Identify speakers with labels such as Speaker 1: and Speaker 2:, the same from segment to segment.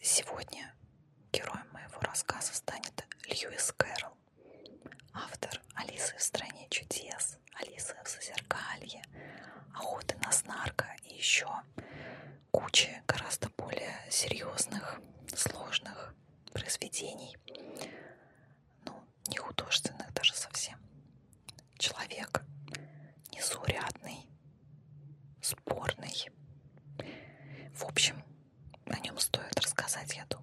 Speaker 1: Сегодня героем моего рассказа станет Льюис Кэрролл, автор «Алисы в стране чудес», «Алисы в Зазеркалье», «Охоты на снарка» и еще куча гораздо более серьезных, сложных произведений, ну, не художественных даже совсем. Человек незаурядный, спорный. В общем, о нем стоит рассказать, я думаю.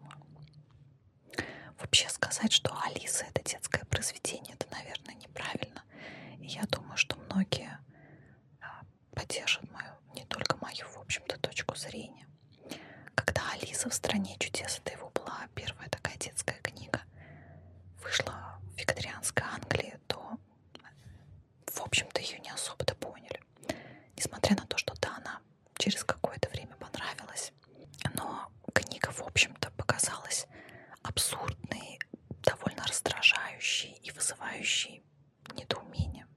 Speaker 1: Вообще сказать, что Алиса это детское произведение, это, наверное, неправильно. И я думаю, что многие а, поддержат мою, не только мою, в общем-то, точку зрения. Когда Алиса в стране чудес, это его была первая такая детская книга, вышла в викторианской Англии то, в общем-то, ее не особо-то поняли. Несмотря на то, что да, она через какое-то время понравилась, но книга, в общем-то, показалась абсурдной, довольно раздражающей и вызывающей недоумение.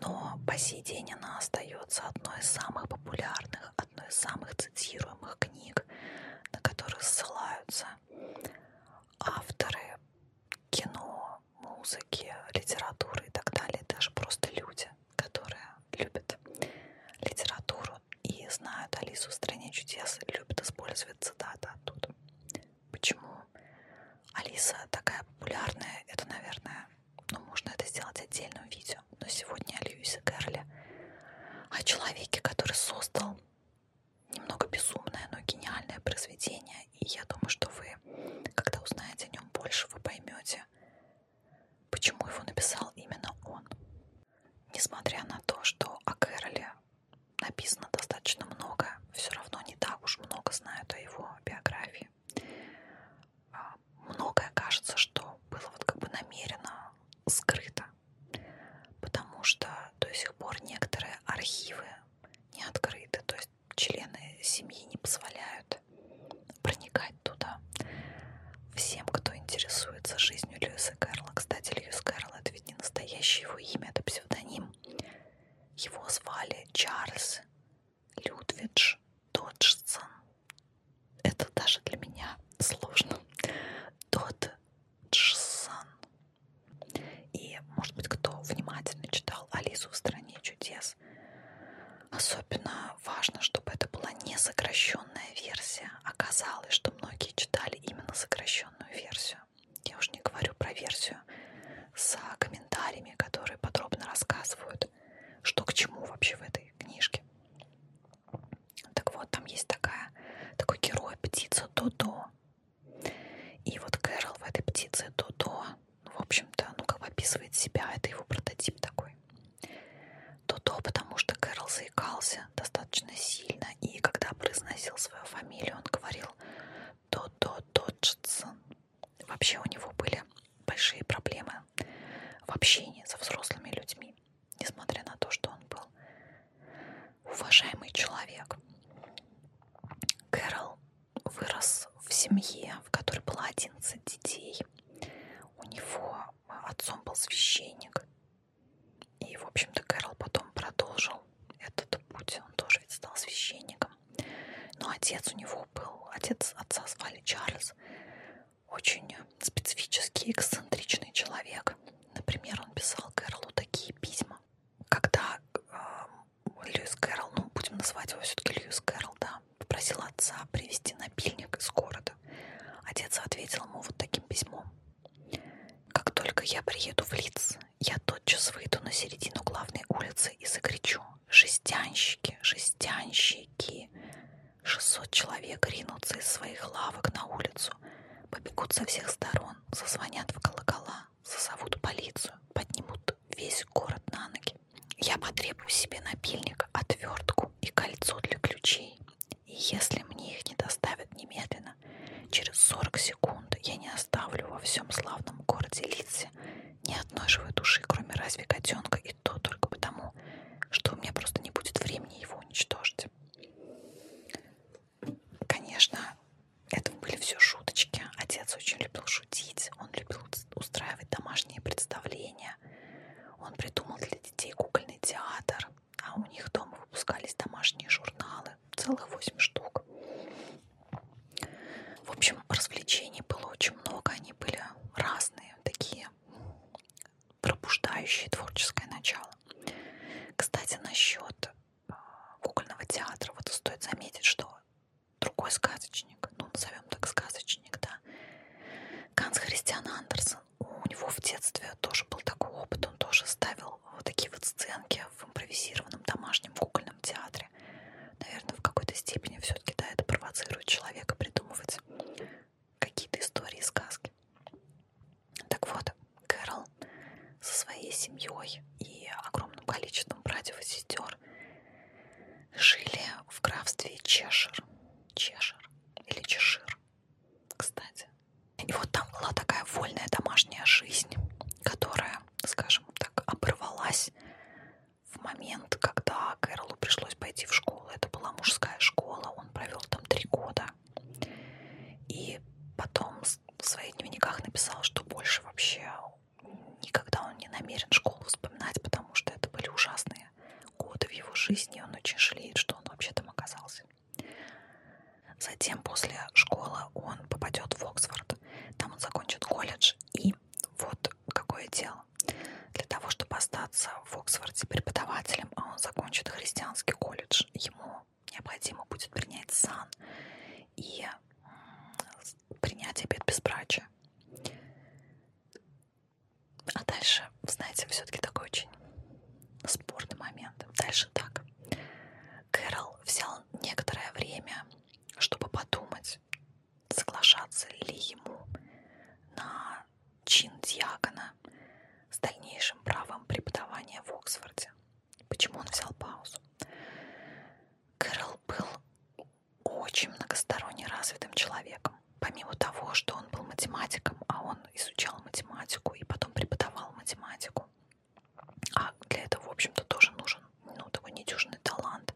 Speaker 1: Но по сей день она остается одной из самых популярных, одной из самых цитируемых книг книг, на которые ссылаются авторы кино, музыки, литературы и так далее, даже просто люди, которые любят литературу и знают Алису в стране чудес, любят использовать цитаты оттуда. Почему Алиса такая популярная? Это, наверное, ну, можно это сделать отдельным видео но сегодня о Льюисе Кэрроле, о человеке, который создал немного безумное, но гениальное произведение. И я думаю, что вы, когда узнаете о нем больше, вы поймете, почему его написал именно он. Несмотря на то, что о Кэроле написано достаточно много, все равно не так уж много знают о его биографии. А, многое кажется, что было вот как бы намеренно скрыто потому что до сих пор некоторые архивы не открыты, то есть члены семьи не позволяют проникать туда. Всем, кто интересуется жизнью Льюиса Кэрла, кстати, Льюис Кэрл это ведь не настоящее его имя, это псевдоним. Его звали Чарльз Людвидж Доджсон это даже для меня сложно. Тот Джсон. И, может быть, кто внимательно читал Алису в стране чудес, особенно важно, чтобы это была не сокращенная версия. Оказалось, что многие читали именно сокращенную версию. Я уж не говорю про версию с комментариями, которые подробно рассказывают, что к чему вообще в этой книжке. Так вот, там есть такая, такой герой, птица Додо. И вот Кэрол в этой птице Додо, ну, в общем-то, ну, как бы описывает себя, это его прототип такой. Додо, потому что Кэрол заикался достаточно сильно, и когда произносил свою фамилию, он говорил Додо Доджсон. Вообще у него были большие проблемы в общении со взрослыми людьми несмотря на то, что он был уважаемый человек. Кэрол вырос в семье, в которой было 11 детей. У него отцом был священник. И, в общем-то, Кэрол потом продолжил этот путь. Он тоже ведь стал священником. Но отец у него был... Отец отца звали Чарльз очень специфический, эксцентричный человек. Например, он писал Кэролу такие письма. Когда э, Льюис Кэрол, ну, будем называть его все-таки Льюис Кэрол, да, попросил отца привезти напильник из города. Отец ответил ему вот таким письмом. «Как только я приеду в Лиц, я тотчас выйду на середину главной улицы и закричу «Жестянщики! Жестянщики!» 600 человек ринутся из своих лавок на улицу, побегут со всех сторон, зазвонят в колокола, зазовут полицию, поднимут весь город на ноги. Я потребую себе напильник, отвертку и кольцо для ключей. И если мне их не доставят немедленно, через 40 секунд я не оставлю во всем славном городе Лице ни одной живой души, кроме разве котенка, и то только потому, тому, что у меня просто не будет времени его уничтожить. Конечно, это были все шуточки. Отец очень любил шутить, он любил устраивать домашние представления. Он придумал для детей кукольный театр, а у них дома выпускались домашние журналы, целых 8 штук. В общем, развлечений было очень много, они были разные, такие пробуждающие творческое начало. Кстати, насчет а, кукольного театра, вот стоит заметить, что другой сказочник, ну, назовем так сказочник, да, Ганс Христиан Андерсон, у него в детстве тоже был такой опыт, он тоже ставил вот такие вот сценки в импровизированном домашнем кукольном театре. Наверное, в какой-то степени все-таки, да, это провоцирует человека придумывать какие-то истории, сказки. Так вот, Кэрол со своей семьей и огромным количеством братьев и сестер жили в графстве Чешир. Чешир или Чешир, кстати. И вот там была такая вольная домашняя жизнь, которая, скажем так, оборвалась в момент, когда Кэролу пришлось пойти в школу школы. Это была мужская школа, он провел там три года. И потом в своих дневниках написал, что больше вообще никогда он не намерен школу вспоминать, потому что это были ужасные годы в его жизни. Он очень жалеет, что он вообще там оказался. Затем после школы он попадет в Оксфорд. Там он закончит колледж. И вот какое дело для того, чтобы остаться в Оксфорде преподавателем, а он закончит христианский колледж, ему необходимо будет принять сан и принять обед безбрачия. А дальше, знаете, все-таки такой очень спорный момент. Дальше так. Кэрол взял некоторое время, чтобы подумать соглашаться ли ему на чин диакона с дальнейшим правом преподавания в Оксфорде. Почему он взял паузу? Кэрол был очень многосторонне развитым человеком. Помимо того, что он был математиком, а он изучал математику и потом преподавал математику. А для этого, в общем-то, тоже нужен ну, такой недюжинный талант.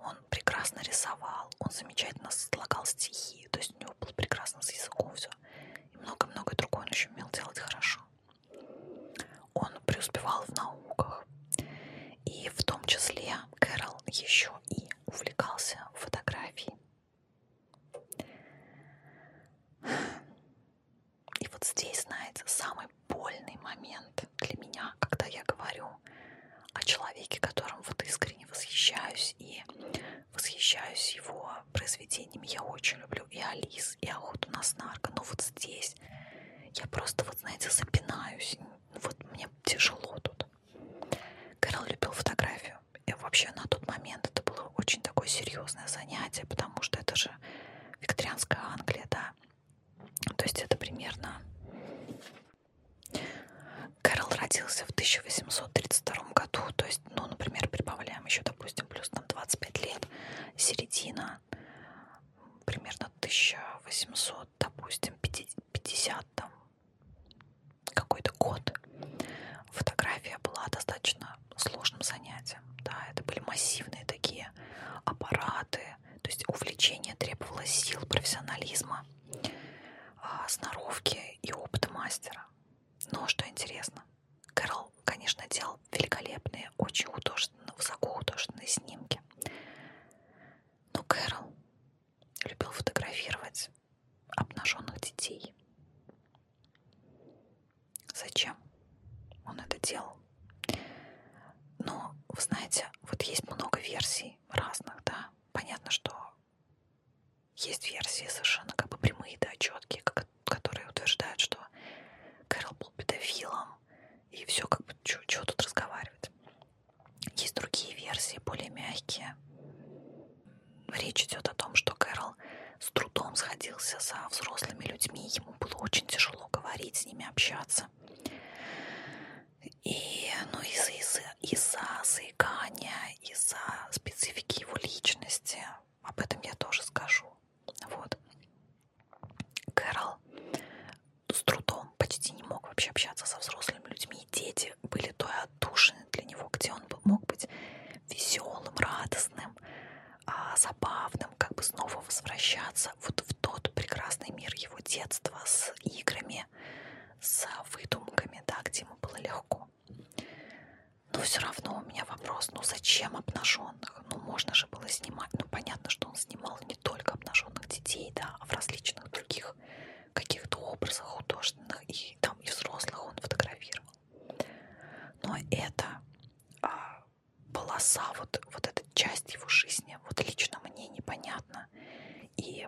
Speaker 1: Он он прекрасно рисовал, он замечательно слагал стихи, то есть у него был прекрасно с языком все. И много-много другое он еще умел делать хорошо. Он преуспевал в науках. И в том числе Кэрол еще и увлекался фотографией. И вот здесь, знаете, самый больный момент для меня, когда я говорю говорю о человеке, которым вот искренне восхищаюсь и восхищаюсь его произведениями. Я очень люблю и Алис, и Охоту на снарка, но вот здесь я просто, вот знаете, запинаюсь. Вот мне тяжело тут. Кэрол любил фотографию. И вообще на тот момент это было очень такое серьезное занятие, потому что это же викторианская Англия, да. То есть это примерно Кэрол родился в 1832 году, то есть, ну, например, прибавляем еще, допустим, плюс там 25 лет, середина, примерно 1800, допустим, 50 там, какой-то год. Фотография была достаточно сложным занятием, да, это были массивные такие аппараты, то есть увлечение требовало сил, профессионализма. А, сноровки и опыта мастера. Но что интересно, Кэрол, конечно, делал великолепные, очень художественные, высокохудожественные снимки. Но Кэрол любил фотографировать обнаженных детей. Зачем он это делал? Но, вы знаете, вот есть много версий разных, да понятно, что есть версии совершенно как бы прямые, да, четкие, как, которые утверждают, что Кэрол был педофилом, и все как бы, чего тут разговаривать. Есть другие версии, более мягкие. Речь идет о том, что Кэрол с трудом сходился со взрослыми людьми, ему было очень тяжело говорить, с ними общаться. И ну, из-за из из заикания, из-за специфики его личности, об этом я тоже скажу. Вот. Кэрол с трудом почти не мог вообще общаться со взрослыми людьми. И дети были той отдушины для него, где он был, мог быть веселым, радостным, а, забавным, как бы снова возвращаться вот в тот прекрасный мир его детства с играми, историями, с выдумками, да, где ему было легко. Но все равно у меня вопрос, ну зачем обнаженных? Ну можно же было снимать, ну понятно, что он снимал не только обнаженных детей, да, а в различных других каких-то образах художественных и там и взрослых он фотографировал. Но это а, полоса, вот, вот эта часть его жизни, вот лично мне непонятно понятно. И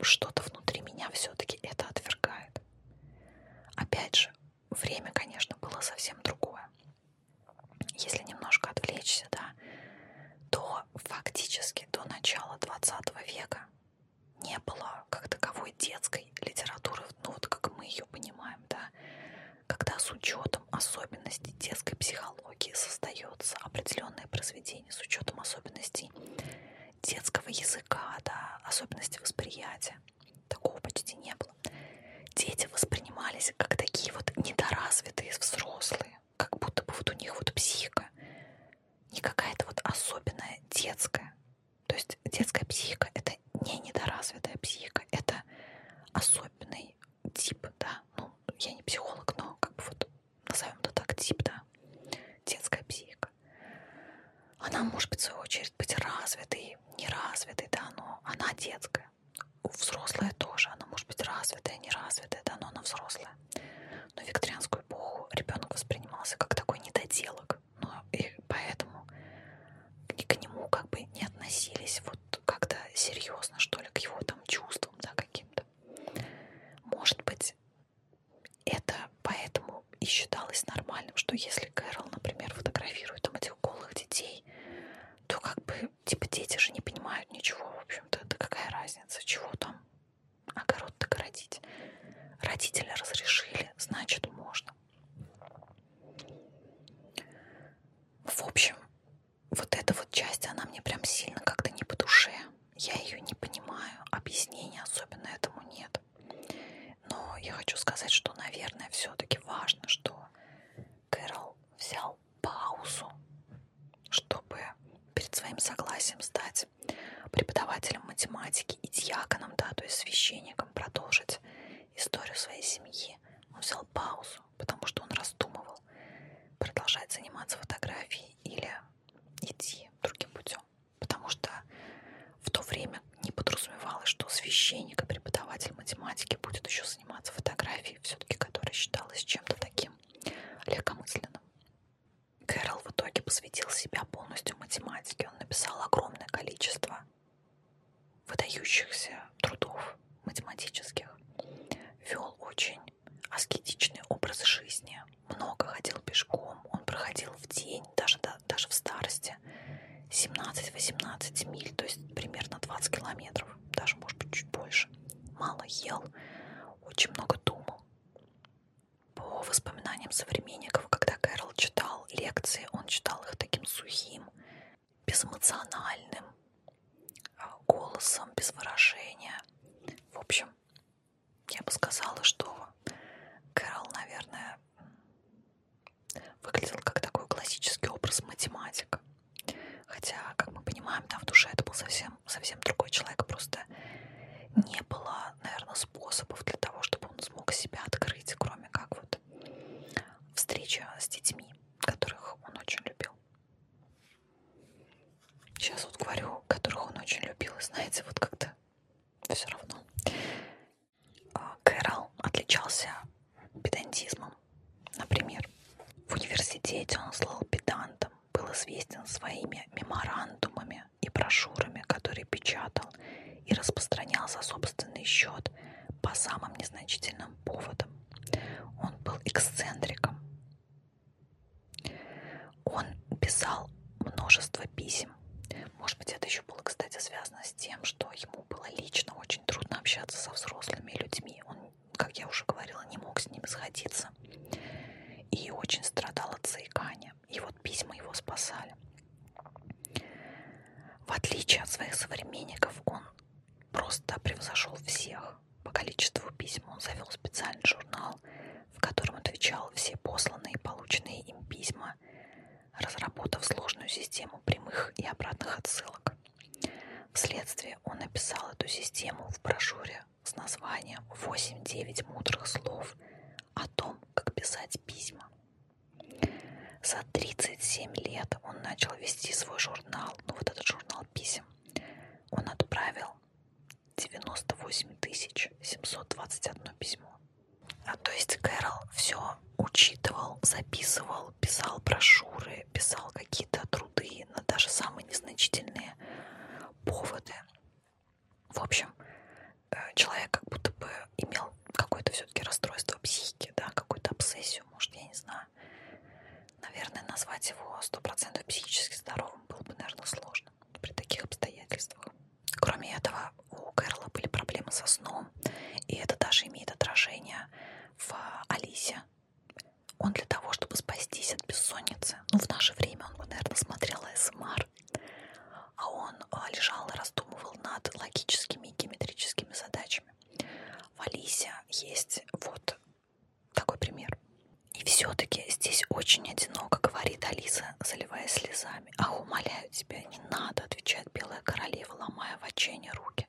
Speaker 1: что-то внутри меня все-таки это отвергает. Опять же, время, конечно, было совсем другое. Если немножко отвлечься, да, то фактически до начала 20 века не было как таковой детской литературы, ну вот как мы ее понимаем, да, когда с учетом особенностей детской психологии создается определенное произведение детей с учетом особенностей детского языка, да, особенностей восприятия. Такого почти не было. Дети воспринимались как такие вот недоразвитые взрослые, как будто бы вот у них вот психика не какая-то вот особенная детская. То есть детская психика — это не недоразвитая психика, это особенный тип, да. Ну, я не психолог, но как бы вот назовем это так, тип, да, детская психика, она может быть, в свою очередь, быть развитой, неразвитой, да, но она детская. У взрослая тоже, она может быть развитая, неразвитая, да, но она взрослая. Но в викторианскую эпоху ребенок воспринимался как такой недоделок, но и поэтому к нему как бы не относились вот как-то серьезно, что ли, к его там чувствам, да, каким-то. Может быть, это поэтому и считалось нормальным, что если Кэрол, например, фотографирует там этих голых детей, то как бы, типа, дети же не понимают ничего, в общем-то, да какая разница, чего там огород-то городить. Родители разрешили, значит, можно. В общем, вот эта вот часть, она мне прям сильно как-то не по душе. Я ее не понимаю, объяснения особенно этому нет. Но я хочу сказать, что, наверное, все-таки важно, что Кэрол взял паузу, чтобы перед своим согласием стать преподавателем математики и диаконом, да, то есть священником, продолжить историю своей семьи. Он взял паузу, потому что он раздумывал, продолжать заниматься фотографией или идти другим путем. Потому что в то время не подразумевалось, что священник и преподаватель математики будет еще заниматься фотографией, все-таки которая считалась чем-то таким легкомысленным. Кэрол в итоге посвятил себя полностью математике. Он написал огромное количество выдающихся трудов математических, вел очень аскетичный образ жизни, много ходил пешком, он проходил в день, даже, да, даже в старости, 17-18 миль, то есть примерно 20 километров, даже, может быть, чуть больше. Мало ел, очень много думал. По воспоминаниям современников, когда Кэрол читал лекции, он читал их таким сухим, безэмоциональным, а, голосом, без выражения. В общем, я бы сказала, что Кэрол, наверное, выглядел как такой классический образ математика. Хотя, как мы понимаем, там в душе это был совсем, совсем другой человек. Просто не было, наверное, способов для того, чтобы он смог себя открыть, кроме как вот встреча с детьми, которых он очень любил. Сейчас вот говорю, которых он очень любил. И знаете, вот как-то все равно. А, Кэрол отличался педантизмом. Например, в университете он слыл педантом, был известен своими меморандумами и брошюрами, которые печатал и распространял за собственный счет по самым незначительным поводам. Он был эксцентриком. Он писал множество писем. Может быть, это еще было, кстати, связано с тем, что ему было лично очень трудно общаться со взрослыми людьми. Он, как я уже говорила, не мог с ними сходиться. И очень страдал от заикания. И вот письма его спасали. В отличие от своих современников, он просто превзошел всех. По количеству писем он завел специальный журнал, в котором отвечал все посланные и полученные им письма, разработав сложную систему прямых и обратных отсылок. Вследствие он написал эту систему в брошюре с названием «8-9 мудрых слов о том, как писать письма». За 37 лет он начал вести свой журнал, ну вот этот журнал писем, он отправил 98 721 письмо. А то есть Кэрол все учитывал, записывал, писал брошюры, писал какие-то труды на даже самые незначительные поводы. В общем, э, человек как будто бы имел какое-то все-таки расстройство психики, да, какую-то обсессию, может, я не знаю сложно. Наверное, назвать его сто процентов психически здоровым было бы, наверное, сложно при таких обстоятельствах. Кроме этого, у Кэрла были проблемы со сном, и это даже имеет отражение в Алисе. Он для того, чтобы спастись от бессонницы, ну, в наше время он бы, наверное, смотрел эм АСМР, а он а, лежал и раздумывал над логическими и геометрическими задачами. В Алисе есть вот такой пример. И все-таки здесь очень одиноко, говорит Алиса, заливаясь слезами. Ах, умоляю тебя, не надо, отвечает белая королева, ломая в отчаянии руки.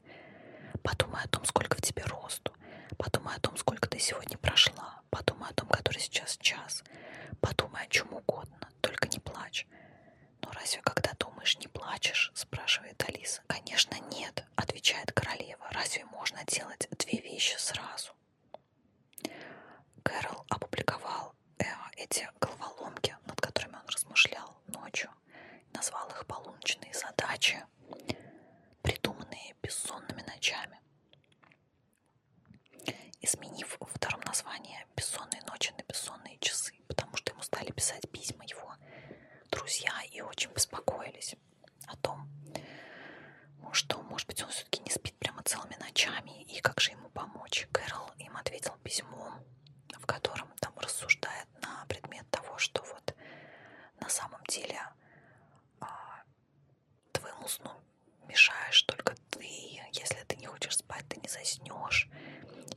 Speaker 1: Подумай о том, сколько в тебе росту. Подумай о том, сколько ты сегодня прошла. Подумай о том, который сейчас час. Подумай о чем угодно, только не плачь. Но разве когда думаешь, не плачешь? Спрашивает Алиса. Конечно, нет. «Нет», — отвечает королева, — «разве можно делать две вещи сразу?» Кэрол опубликовал э, эти головоломки, над которыми он размышлял ночью, назвал их «Полуночные задачи», придуманные бессонными ночами. Изменив во втором названии «Бессонные ночи» на «Бессонные часы», потому что ему стали писать письма его друзья и очень беспокоились о том, что, может быть, он все-таки не спит прямо целыми ночами, и как же ему помочь. Кэрол им ответил письмом, в котором там рассуждает на предмет того, что вот на самом деле а, твоему сну мешаешь только ты. Если ты не хочешь спать, ты не заснешь.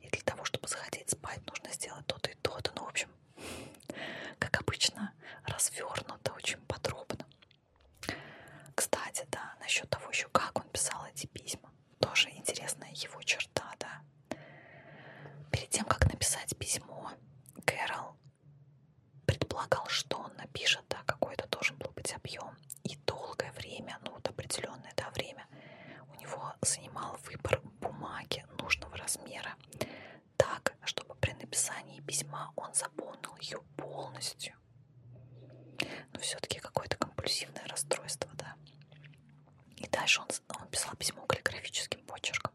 Speaker 1: И для того, чтобы захотеть спать, нужно сделать то-то и то-то. Ну, в общем, как обычно, развернуто очень подробно. Кстати, да, насчет того еще, как он писал эти письма. Тоже интересная его черта, да. Перед тем, как написать письмо, Кэрол предполагал, что он напишет, да, какой-то должен был быть объем. И долгое время, ну вот определенное да, время, у него занимал выбор бумаги, бумаги нужного размера, так, чтобы при написании письма он заполнил ее полностью. Но ну, все-таки какое-то компульсивное расстройство, да. И дальше он, он писал письмо каллиграфическим почерком.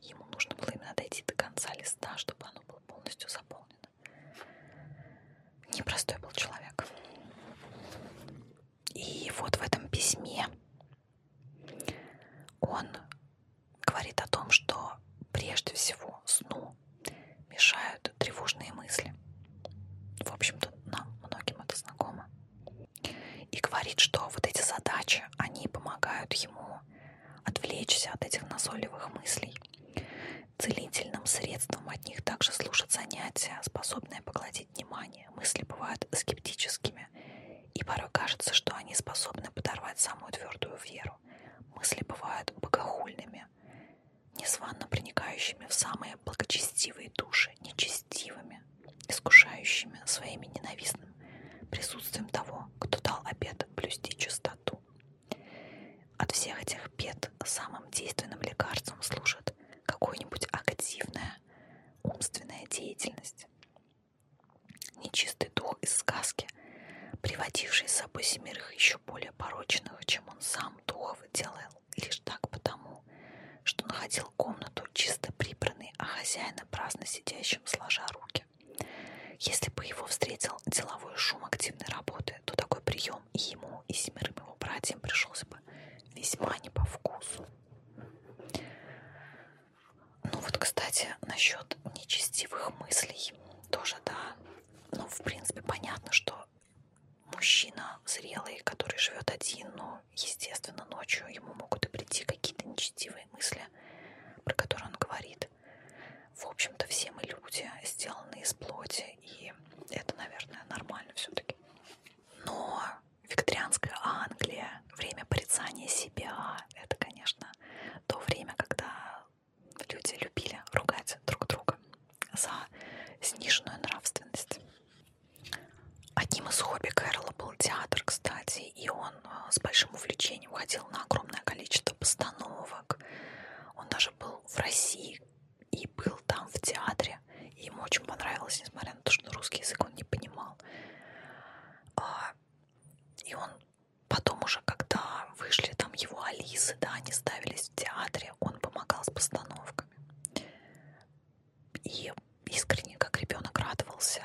Speaker 1: Ему нужно было именно дойти до конца листа, чтобы оно было полностью заполнено. Непростой был человек. И вот в этом письме он говорит о том, что прежде всего сну мешают тревожные мысли. В общем-то, нам многим это знакомо. И говорит, что вот эти задачи, они помогают ему отвлечься от этих назойливых мыслей. Целительным средством от них также служат занятия, способные поглотить обратить внимание, мысли бывают скептическими, и порой кажется, что они способны подорвать самую твердую веру. Мысли бывают богохульными, незванно проникающими в самые благочестивые души, нечестивыми, искушающими своими ненавистным присутствием того, кто дал обет блюсти чистоту. От всех этих бед самым действенным лекарством служит какое-нибудь активное Второе – умственная деятельность. Нечистый дух из сказки, приводивший с собой семерых еще более порочных, чем он сам духов делал лишь так потому, что находил комнату чисто прибранной, а хозяина праздно сидящим сложа руки. Если бы его встретил деловой шум активной работы, то такой прием и ему, и семерым его братьям пришелся бы весьма не по вкусу. Ну вот, кстати, насчет нечестивых мыслей тоже, да. Ну, в принципе, понятно, что мужчина зрелый, который живет один, ну, естественно, ночью ему могут и прийти какие-то нечестивые мысли, про которые он говорит. В общем-то, все мы люди, сделаны из плоти, и это, наверное, нормально все-таки. Но викторианская Англия, время порицания себя. Это, конечно, то время, когда люди любили ругать друг друга за сниженную нравственность. Одним из хобби Кэрола был театр, кстати, и он э, с большим увлечением ходил на огромное количество постановок. Он даже был в России и был там в театре языке. И ему очень понравилось, несмотря на то, что русский язык он не понимал. А, и он потом уже, когда вышли там его Алисы, да, они ставились в театре, он помогал с постановками. И искренне, как ребенок, радовался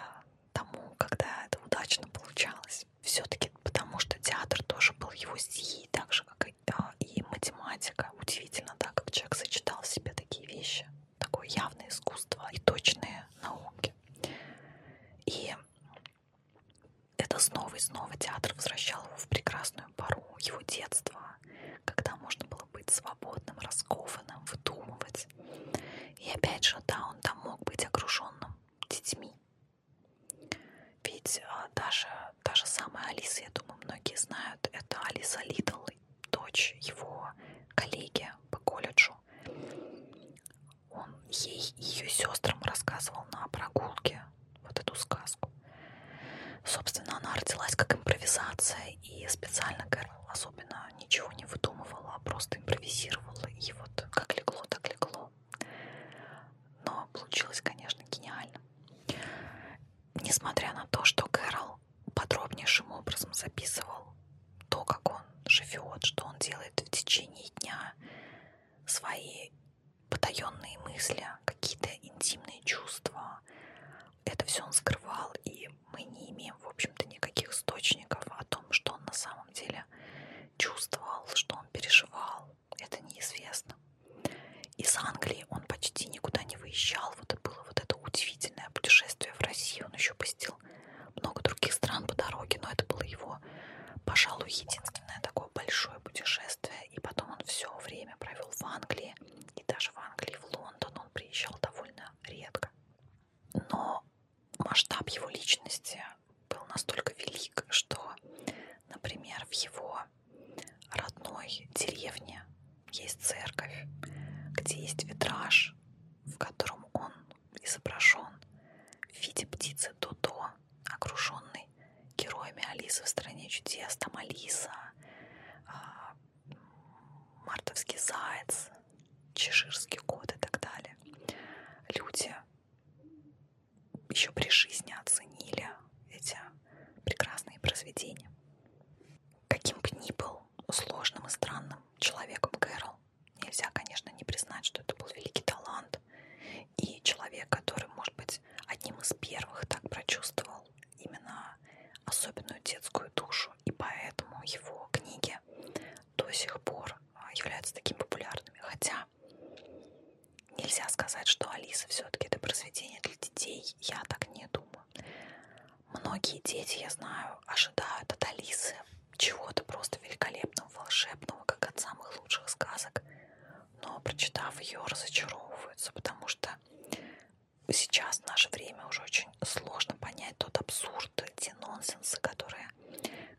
Speaker 1: тому, когда это удачно получалось. Все-таки потому, что театр тоже был его сией, так же, как и, да, и математика. Удивительно, да, как человек сочетал в себе такие вещи такое явное искусство и точные науки. И это снова и снова театр возвращал его в прекрасную пору его детства, когда можно было быть свободным, раскованным, выдумывать. И опять же, да, он там мог быть окруженным детьми. Ведь даже, даже самая Алиса, я думаю, многие знают, это Алиса Лидл, тяжелый. Дочь его коллеги по колледжу. Он ей ее сестрам рассказывал на прогулке вот эту сказку. Собственно, она родилась как импровизация и специально особенно ничего не выдумывала, а просто импровизировала. И вот как легло, так легло. Но получилось, конечно, гениально. Несмотря на то, что Кэрол подробнейшим образом записывал то, как он живет, что он делает в течение дня, свои потаенные мысли, какие-то интимные чувства. Это все он скрывал, и мы не имеем, в общем-то, никаких источников о том, что он на самом деле чувствовал, что он переживал. Это неизвестно. Из Англии он почти никуда не выезжал. Вот это было вот это удивительное путешествие в России. Он еще посетил много других стран по дороге, но это было его, пожалуй, единственное такое большое путешествие. И потом он все время провел в Англии, и даже в Англии, в Лондон он приезжал довольно редко. Но масштаб его личности был настолько велик, что, например, в его родной деревне есть церковь, где есть витраж, в котором он изображен в виде птицы Дудо, окруженной героями Алисы в стране чудес, там Алиса, а, мартовский заяц, чеширский кот и так далее. Люди еще при жизни оценили эти прекрасные произведения. Каким бы ни был сложным и странным человеком Кэрол, нельзя, конечно, не признать, что это был великий талант и человек, который, может быть, одним из первых так прочувствовал именно особенную детскую душу, и поэтому его книги до сих пор а, являются такими популярными. Хотя нельзя сказать, что Алиса все-таки это произведение для детей, я так не думаю. Многие дети, я знаю, ожидают от Алисы чего-то просто великолепного, волшебного, как от самых лучших сказок, но, прочитав ее, разочаровываются, потому что сейчас, в наше время, уже очень сложно понять тот абсурд, те нонсенсы, которые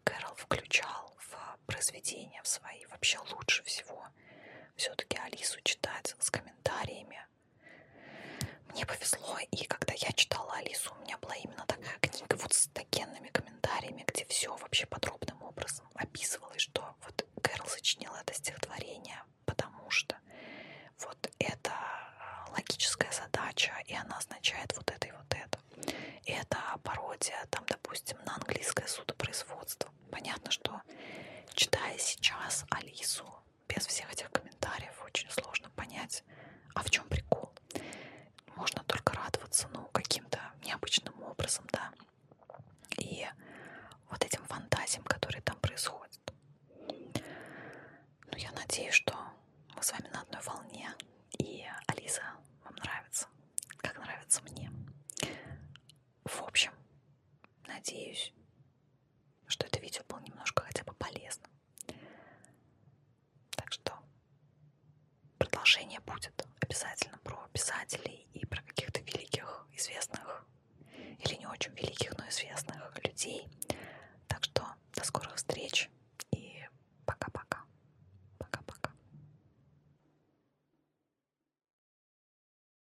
Speaker 1: Кэрол включал в произведения в свои. Вообще лучше всего все-таки Алису читать с комментариями, мне повезло, и когда я читала Алису, у меня была именно такая книга вот с такенными комментариями, где все вообще подробным образом описывалось, что вот Кэрол сочинила это стихотворение, потому что вот это а, логическая задача, и она означает вот это и вот это. И это пародия, там, допустим, на английское судопроизводство. Понятно, что читая сейчас Алису, без всех этих комментариев очень сложно понять, а в чем прикол. Можно только радоваться, ну, каким-то необычным образом, да, и вот этим фантазиям, которые там происходят. Ну, я надеюсь, что мы с вами на одной волне, и Алиса вам нравится, как нравится мне. В общем, надеюсь, что это видео было немножко хотя бы полезным. Так что продолжение будет обязательно про писателей и про каких-то великих, известных или не очень великих, но известных людей. Так что до скорых встреч и пока-пока. Пока-пока.